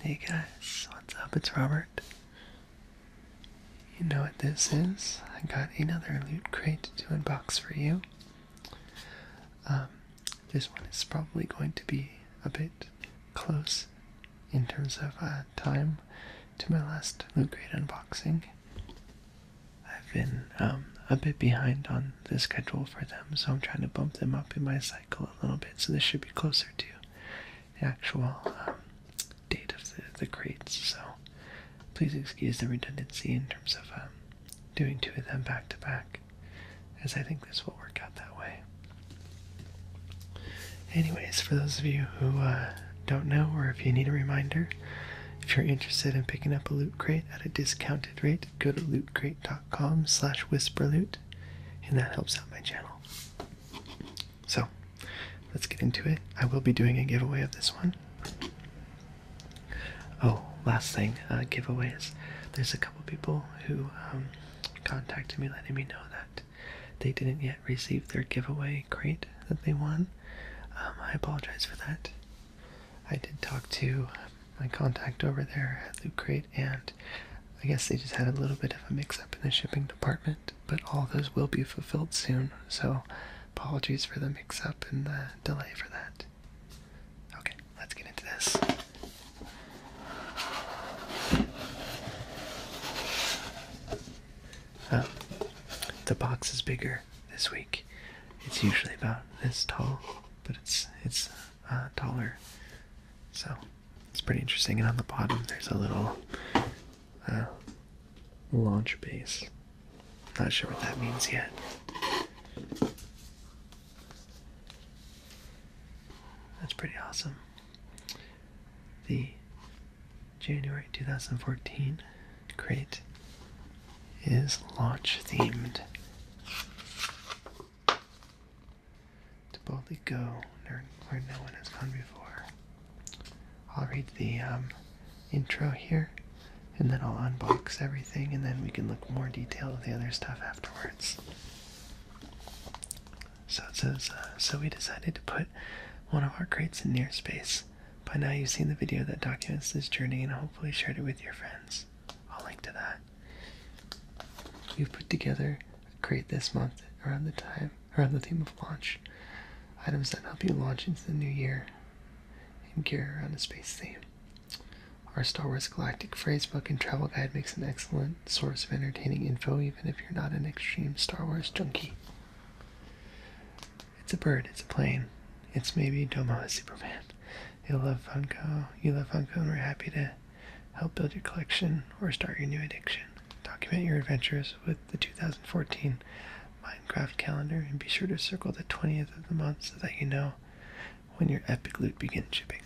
Hey guys, what's up? It's Robert. You know what this is. I got another loot crate to unbox for you. Um, this one is probably going to be a bit close in terms of uh, time to my last loot crate unboxing. I've been um, a bit behind on the schedule for them, so I'm trying to bump them up in my cycle a little bit. So this should be closer to the actual um, date of the, the crates. So please excuse the redundancy in terms of um, doing two of them back to back, as I think this will work out that way. Anyways, for those of you who uh, don't know, or if you need a reminder, if you're interested in picking up a loot crate at a discounted rate, go to lootcrate.com patreon.com slash loot, and that helps out my channel so let's get into it i will be doing a giveaway of this one oh last thing uh, giveaways there's a couple people who um, contacted me letting me know that they didn't yet receive their giveaway crate that they won um, i apologize for that i did talk to my contact over there at Loot and I guess they just had a little bit of a mix-up in the shipping department, but all those will be fulfilled soon, so apologies for the mix-up and the delay for that. Okay, let's get into this. Oh, the box is bigger this week. It's usually about this tall, but it's it's uh, taller. So it's pretty interesting. And on the bottom, there's a little uh, launch base. Not sure what that means yet. That's pretty awesome. The January 2014 crate is launch themed. To boldly go where no one has gone before. I'll read the um, intro here, and then I'll unbox everything, and then we can look more detail of the other stuff afterwards. So it says, uh, so we decided to put one of our crates in near space. By now you've seen the video that documents this journey and hopefully shared it with your friends. I'll link to that. We've put together a crate this month around the time around the theme of launch. Items that help you launch into the new year and gear around the space theme. Our Star Wars Galactic Phrasebook and Travel Guide makes an excellent source of entertaining info, even if you're not an extreme Star Wars junkie. It's a bird, it's a plane, it's maybe Doma is Superman. you love Funko. You love Funko, and we're happy to help build your collection or start your new addiction. Document your adventures with the 2014 Minecraft calendar, and be sure to circle the 20th of the month so that you know when your epic loot begins shipping.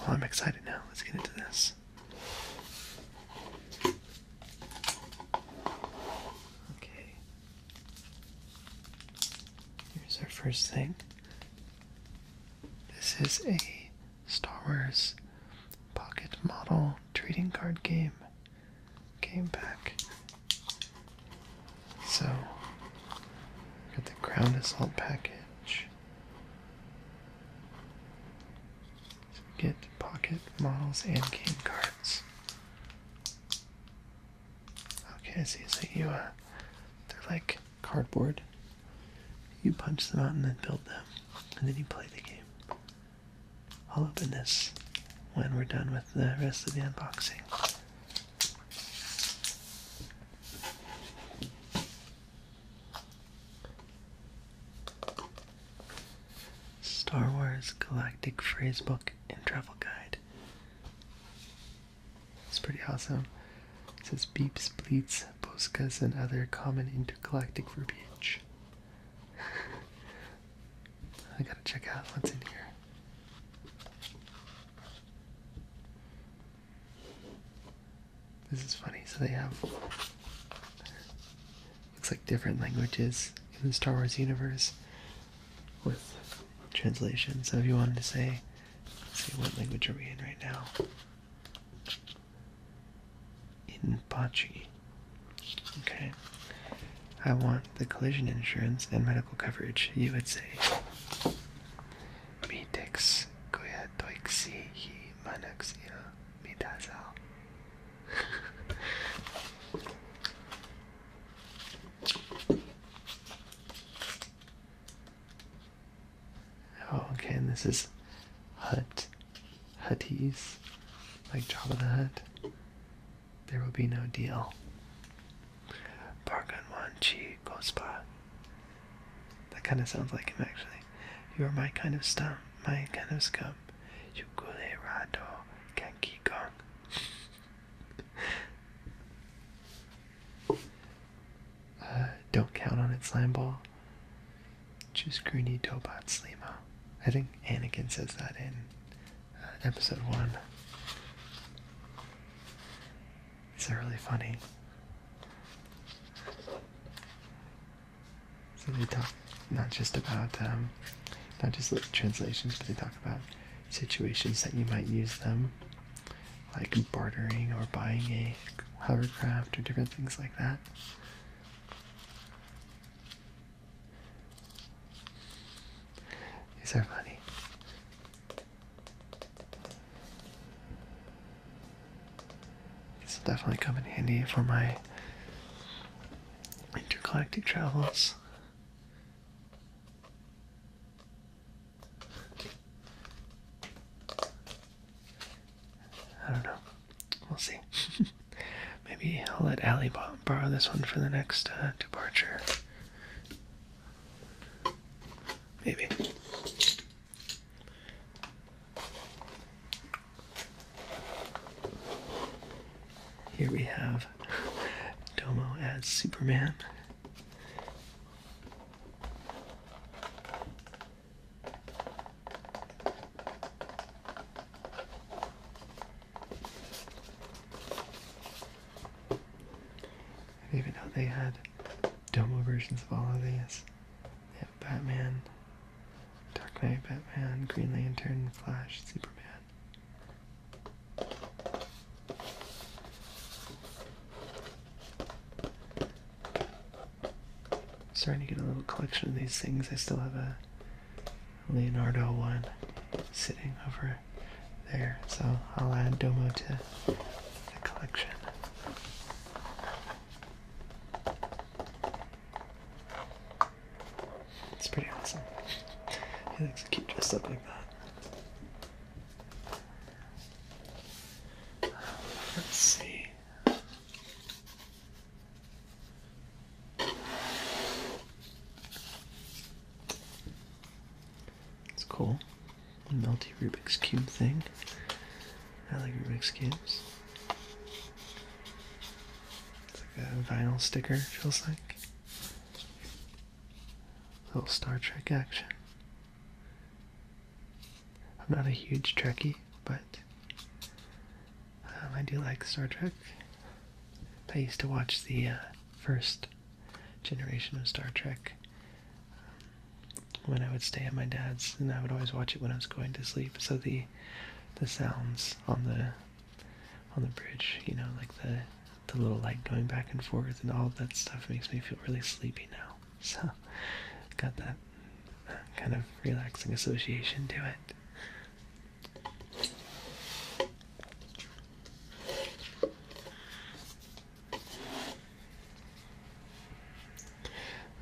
Well, I'm excited now. Let's get into this. Okay, Here's our first thing. This is a Star Wars pocket model trading card game. Game pack. So, got the ground assault package. So get pocket models and game cards. Okay, So you, uh, they're like cardboard. You punch them out and then build them, and then you play the game. I'll open this when we're done with the rest of the unboxing. Star Wars Galactic Phrasebook and Travel Guide. It's pretty awesome. It says beeps, bleats, boskas, and other common intergalactic verbiage. I gotta check out what's in here. This is funny. So they have looks like different languages in the Star Wars universe with translation. So if you wanted to say, see what language are we in right now? In Pachi. Okay. I want the collision insurance and medical coverage. You would say Mitex Goya Toixi Manaxia Mitazal. Oh, okay, this is hut. Hutties. Like Jabba the Hut. There will be no deal. chi Gospa. That kind of sounds like him, actually. You are my kind of scum. My kind of scum. Yukule Rado Kanki Gong. uh, don't count on it, slime ball. Just greeny Dobot Slimo. I think Anakin says that in uh, episode one. It's really funny. So they talk not just about um, not just little translations, but they talk about situations that you might use them, like bartering or buying a hovercraft or different things like that. These are funny. This will definitely come in handy for my intergalactic travels. I don't know. We'll see. Maybe I'll let Allie borrow this one for the next uh, departure. Maybe. Here we have Domo as Superman. even though they had Domo versions of all of these, Batman, Dark Knight, Batman, Green Lantern, Flash, Superman. Starting to get a little collection of these things. I still have a Leonardo one sitting over there, so I'll add Domo to the collection. It's pretty awesome. He looks cute dressed up like that. Um, let's see. It's cool. The melty Rubik's Cube thing. I like Rubik's Cubes. It's like a vinyl sticker, feels like. Little Star Trek action. I'm not a huge Trekkie, but um, I do like Star Trek. I used to watch the uh, first generation of Star Trek um, when I would stay at my dad's, and I would always watch it when I was going to sleep. So the the sounds on the on the bridge, you know, like the the little light going back and forth and all that stuff makes me feel really sleepy now. So, got that kind of relaxing association to it.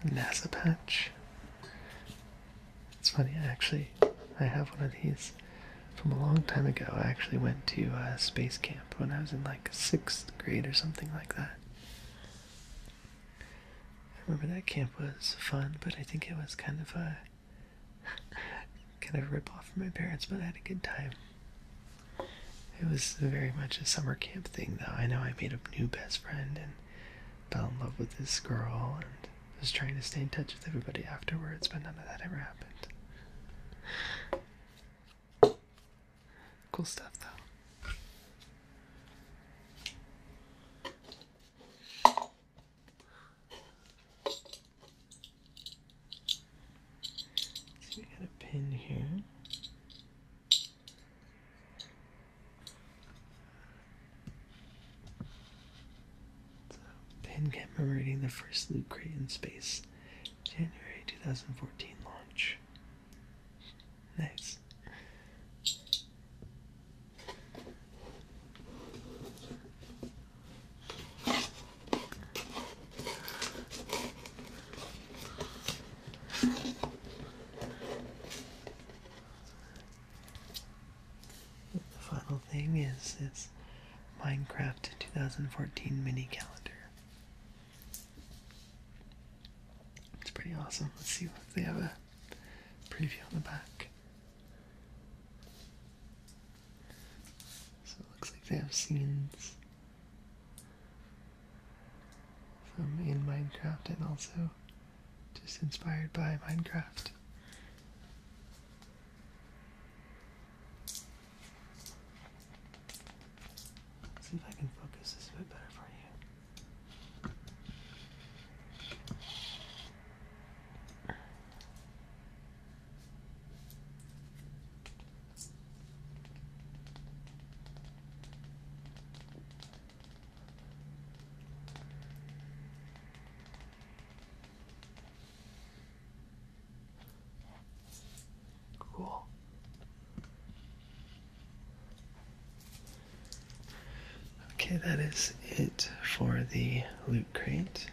NASA patch. It's funny, actually, I have one of these from a long time ago. I actually went to uh, space camp when I was in like sixth grade or something like that. I remember that camp was fun, but I think it was kind of a kind of rip off from my parents, but I had a good time. It was very much a summer camp thing, though. I know I made a new best friend and fell in love with this girl, and I was trying to stay in touch with everybody afterwards, but none of that ever happened. Cool stuff, though. So we got a pin here. So, Penn commemorating the first loop Crate in space, January 2014 launch. Nice. The final thing is this Minecraft 2014 mini calendar. It's pretty awesome. Let's see if they have a preview on the back. So it looks like they have scenes from in Minecraft and also just inspired by Minecraft see if I can focus this a bit better for you. Cool. Okay, that is it for the loot crate.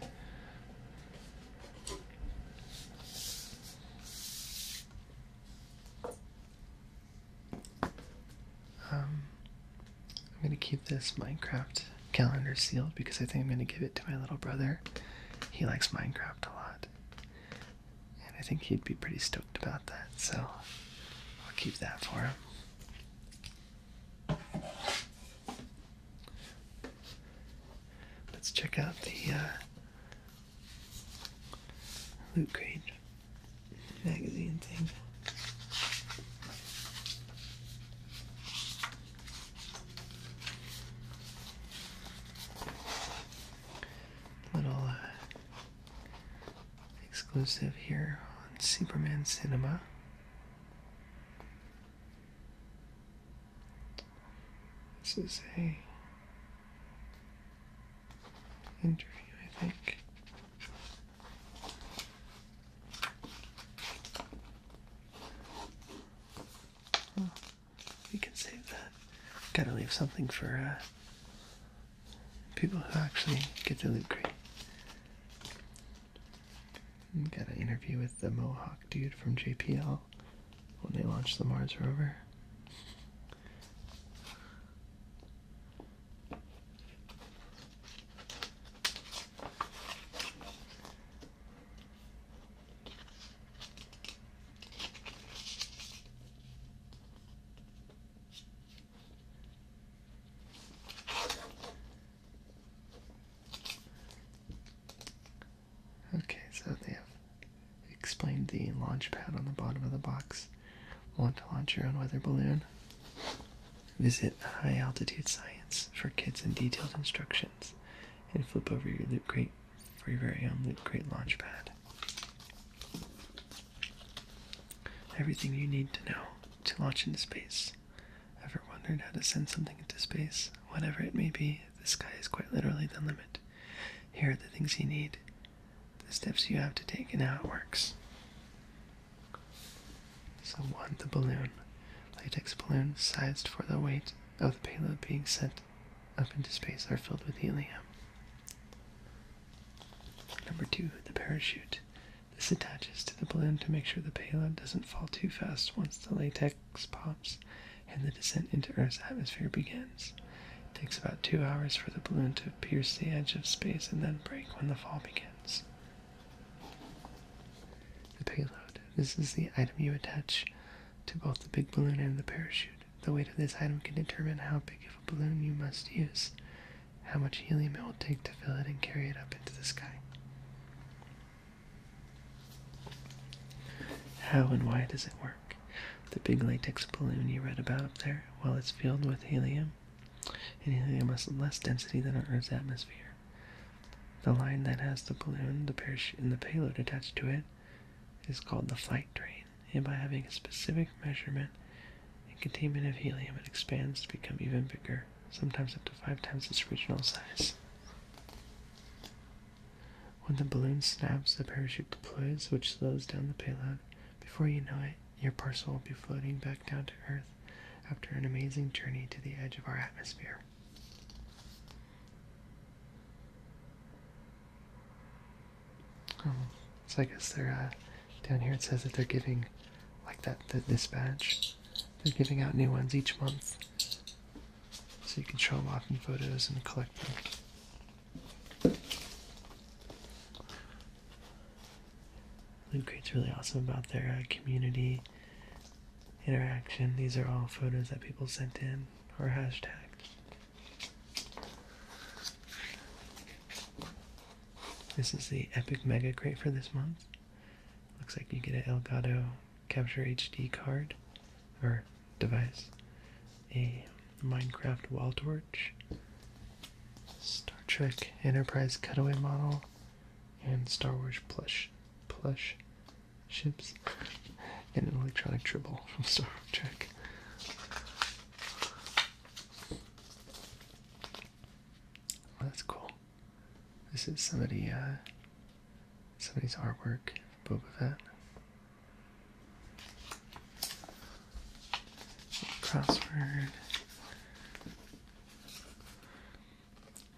Um, I'm gonna keep this Minecraft calendar sealed because I think I'm gonna give it to my little brother. He likes Minecraft a lot. And I think he'd be pretty stoked about that, so I'll keep that for him. Let's check out the uh, loot crate magazine thing. Little uh, exclusive here on Superman Cinema. This is a interview, I think. Well, we can save that. Gotta leave something for uh, people who actually get to loot Great. Got an interview with the Mohawk dude from JPL when they launched the Mars rover. Okay, so they have explained the launch pad on the bottom of the box. Want to launch your own weather balloon? Visit High Altitude Science for kids and detailed instructions, and flip over your loop Crate for your very own Loot Crate pad. Everything you need to know to launch into space. Ever wondered how to send something into space? Whatever it may be, the sky is quite literally the limit. Here are the things you need, the steps you have to take, and how it works. So one, the balloon, latex balloons sized for the weight of the payload being sent up into space are filled with helium. Number two, the parachute. This attaches to the balloon to make sure the payload doesn't fall too fast once the latex pops and the descent into Earth's atmosphere begins. It takes about two hours for the balloon to pierce the edge of space and then break when the fall begins. The payload. This is the item you attach to both the big balloon and the parachute. The weight of this item can determine how big of a balloon you must use, how much helium it will take to fill it and carry it up into the sky. How and why does it work? The big latex balloon you read about up there, Well, it's filled with helium, anything that has less density than our Earth's atmosphere. The line that has the balloon, the parachute, and the payload attached to it is called the flight train, and by having a specific measurement and containment of helium, it expands to become even bigger, sometimes up to five times its original size. When the balloon snaps, the parachute deploys, which slows down the payload. Before you know it, your parcel will be floating back down to Earth after an amazing journey to the edge of our atmosphere. Oh, so I guess they're uh, down here. It says that they're giving, like that, the dispatch. They're giving out new ones each month, so you can show them off in photos and collect them. Loot Crate's really awesome about their uh, community interaction. These are all photos that people sent in or hashtagged. This is the Epic Mega Crate for this month. Looks like you get a Elgato Capture HD card or device, a Minecraft wall torch, Star Trek Enterprise cutaway model, and Star Wars plush plush ships and an electronic tribble from Star Trek. that's cool. This is somebody uh, somebody's artwork from Boba Fett. Crossword.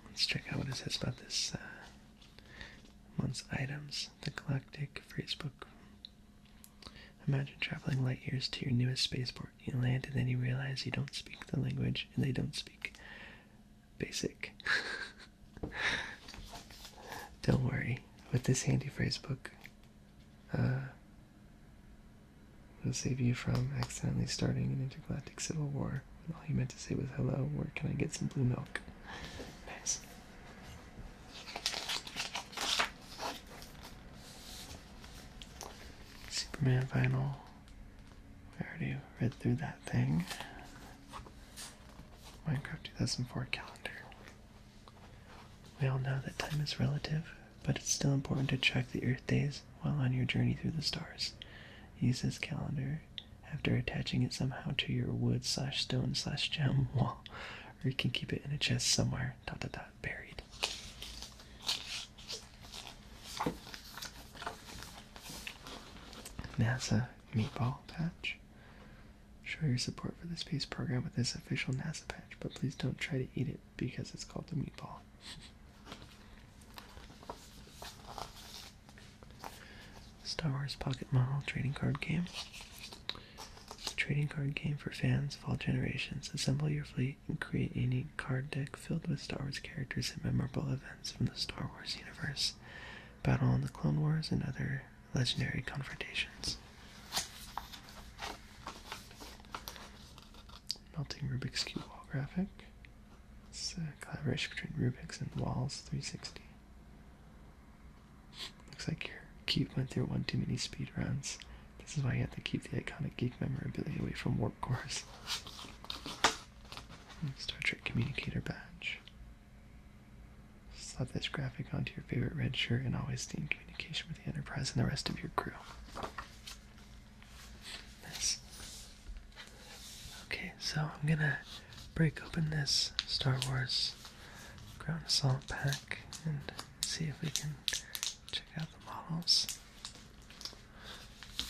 Let's check out what it says about this uh, month's items. The Galactic Phrasebook. Imagine traveling light years to your newest spaceport. You land and then you realize you don't speak the language and they don't speak basic. don't worry. With this handy phrasebook, uh, It'll save you from accidentally starting an intergalactic civil war all you meant to say was hello, where can I get some blue milk? Nice. Superman vinyl. I already read through that thing. Minecraft 2004 calendar. We all know that time is relative but it's still important to check the Earth days while on your journey through the stars. Use this calendar after attaching it somehow to your wood slash stone slash gem wall, or you can keep it in a chest somewhere. Dot dot dot buried. NASA meatball patch. Show your support for the space program with this official NASA patch, but please don't try to eat it because it's called the meatball. Star Wars Pocket Model Trading Card Game. trading card game for fans of all generations. Assemble your fleet and create a unique card deck filled with Star Wars characters and memorable events from the Star Wars universe. Battle on the Clone Wars and other legendary confrontations melting Rubik's Cube wall graphic. It's a collaboration between Rubik's and Walls 360. Looks like your cube went through one too many speed runs. This is why you have to keep the iconic geek memorabilia away from warp cores. Star Trek Communicator Badge. Slap this graphic onto your favorite red shirt and always stay in communication with the Enterprise and the rest of your crew. Okay, so I'm gonna break open this Star Wars ground assault pack and see if we can check out the models. I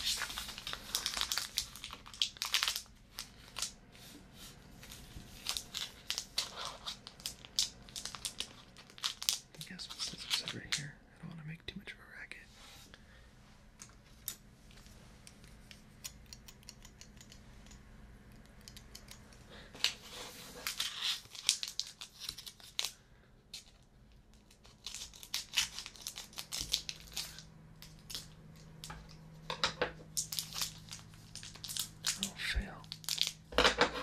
think I have some scissors over here. I don't want to make too much of a racket. Oh, fail.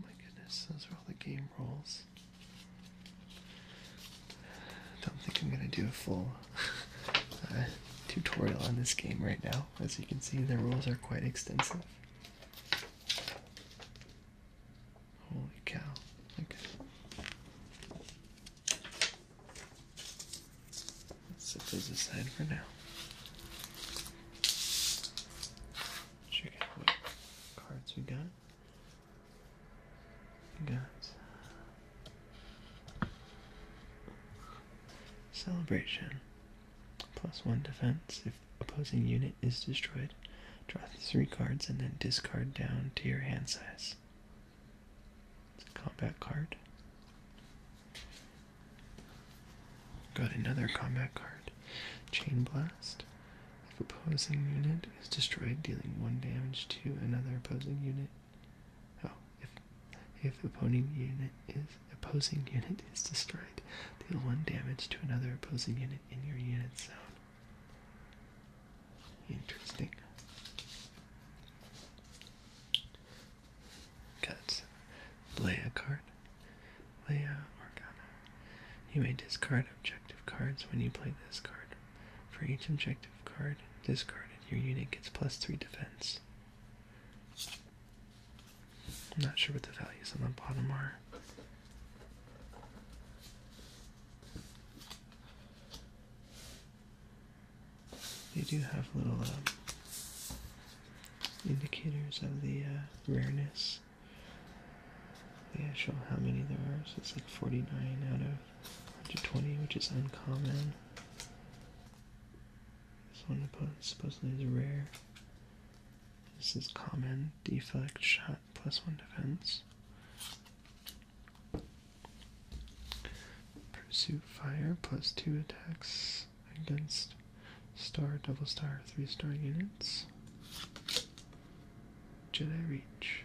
My goodness, those are all the game rules. Don't think I'm gonna do a full uh, tutorial on this game right now. As you can see, the rules are quite extensive. Holy cow! Okay set those aside for now. Check out what cards we got. We got uh, celebration. Plus one defense. If opposing unit is destroyed, draw three cards and then discard down to your hand size combat card. Got another combat card. Chain Blast. If opposing unit is destroyed, dealing one damage to another opposing unit. Oh, if if opponent unit is opposing unit is destroyed, deal one damage to another opposing unit in your unit zone. Interesting. Got Leia card. Leia Organa. You may discard objective cards when you play this card. For each objective card discarded, your unit gets plus three defense. I'm not sure what the values on the bottom are. They do have little uh, indicators of the uh, rareness. They show how many there are, so it's like 49 out of 120, which is uncommon. This one opponent supposedly is rare. This is common, deflect, shot, plus one defense. Pursuit fire plus two attacks against star, double star, three star units. Jedi Reach.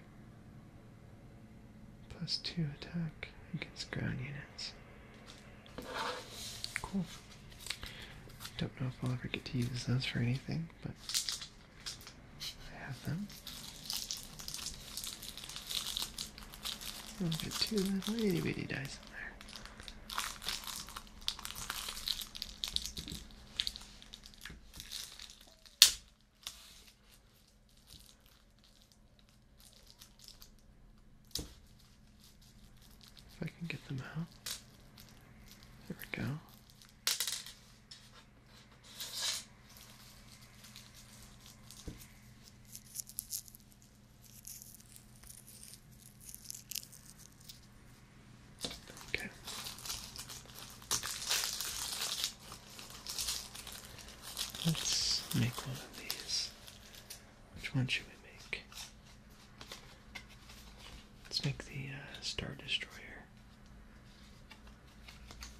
Plus two attack against ground units. Cool. Don't know if I'll ever get to use those for anything, but I have them. Those are two little itty bitty dice in there. If I can get them out. There we go. Okay. Let's make one of these. Which one should we make? Let's make the uh, Star Destroyer.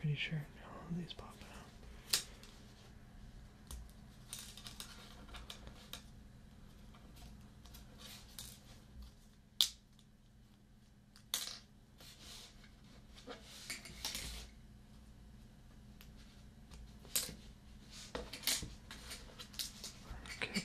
Pretty sure all of these popping out. Okay.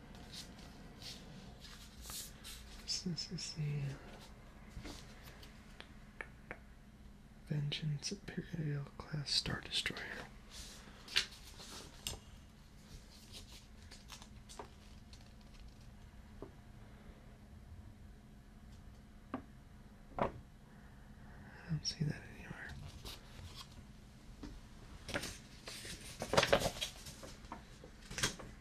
this is the uh, Vengeance Imperial class Star Destroyer. I don't see that anywhere.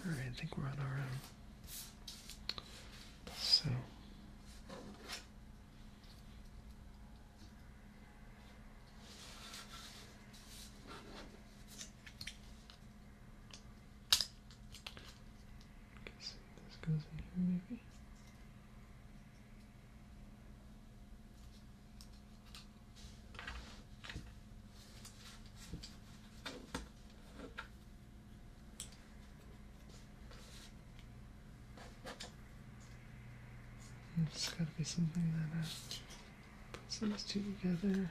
All right, I think we're on our So. Guess this goes in here, maybe. It's gotta be something that uh, puts those two together.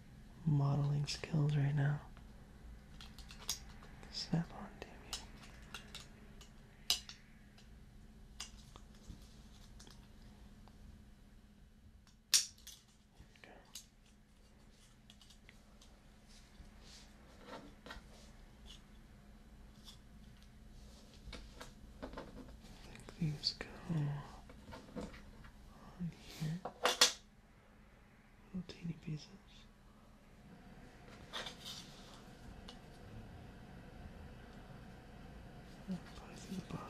modeling skills right now. Snap on, damn you. Okay. I think these go on here. Little teeny pieces. Put through the bottom.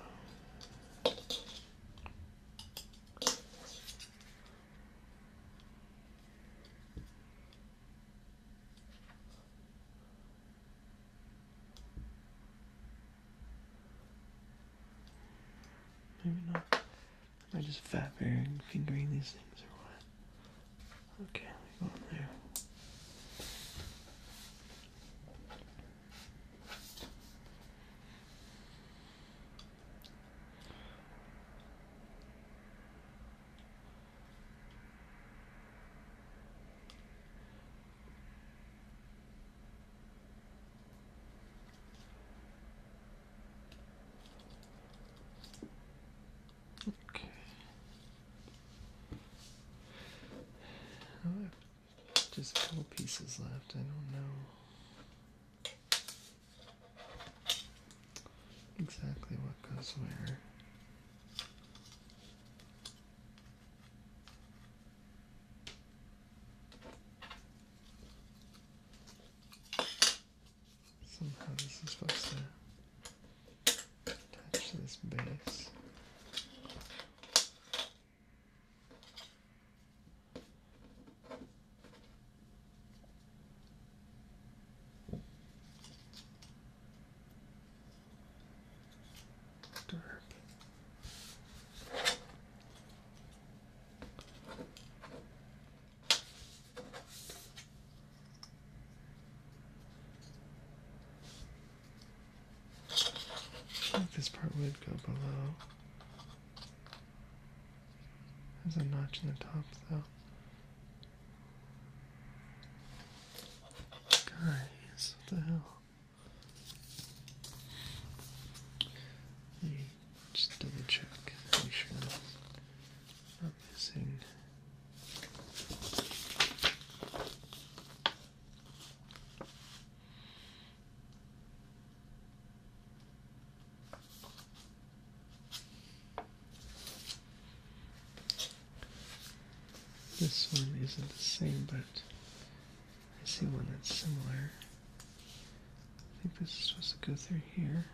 Maybe not. Am I just fat fingering, fingering these things or what? Okay, let me go in there. Okay. just a couple pieces left. I don't know exactly what goes where. Somehow this is supposed to touch this base this part would go below. There's a notch in the top though. Guys, what the hell? Just double check, make sure I'm not missing. This one isn't the same, but I see one that's similar. I think this is supposed to go through here.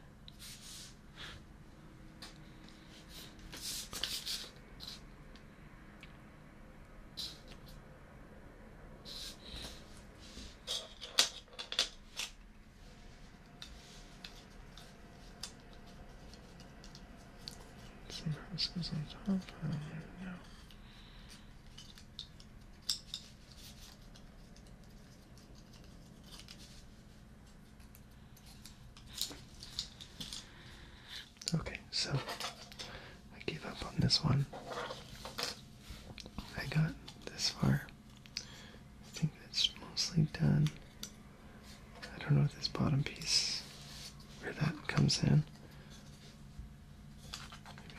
Somehow this on top. I don't know. Okay, so I gave up on this one. I got this far. I think that's mostly done. I don't know if this bottom piece where that comes in.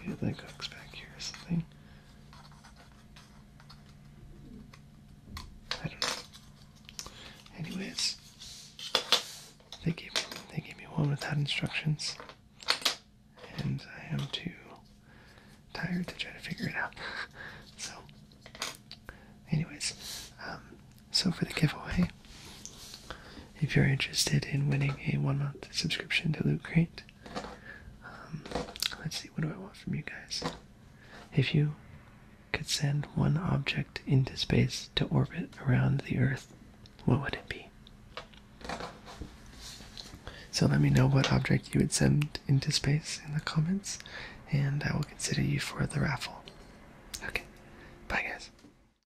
Maybe that cook's back here or something. I don't know. Anyways, they gave me, they gave me one without instructions, and I am too tired to try to figure it out. so, anyways, um, so for the giveaway, if you're interested in winning a one month subscription to Loot Crate, um, let's see, what do I want from you guys? If you could send one object into space to orbit around the Earth, what would it be? So let me know what object you would send into space in the comments, and I will consider you for the raffle. Okay, bye guys.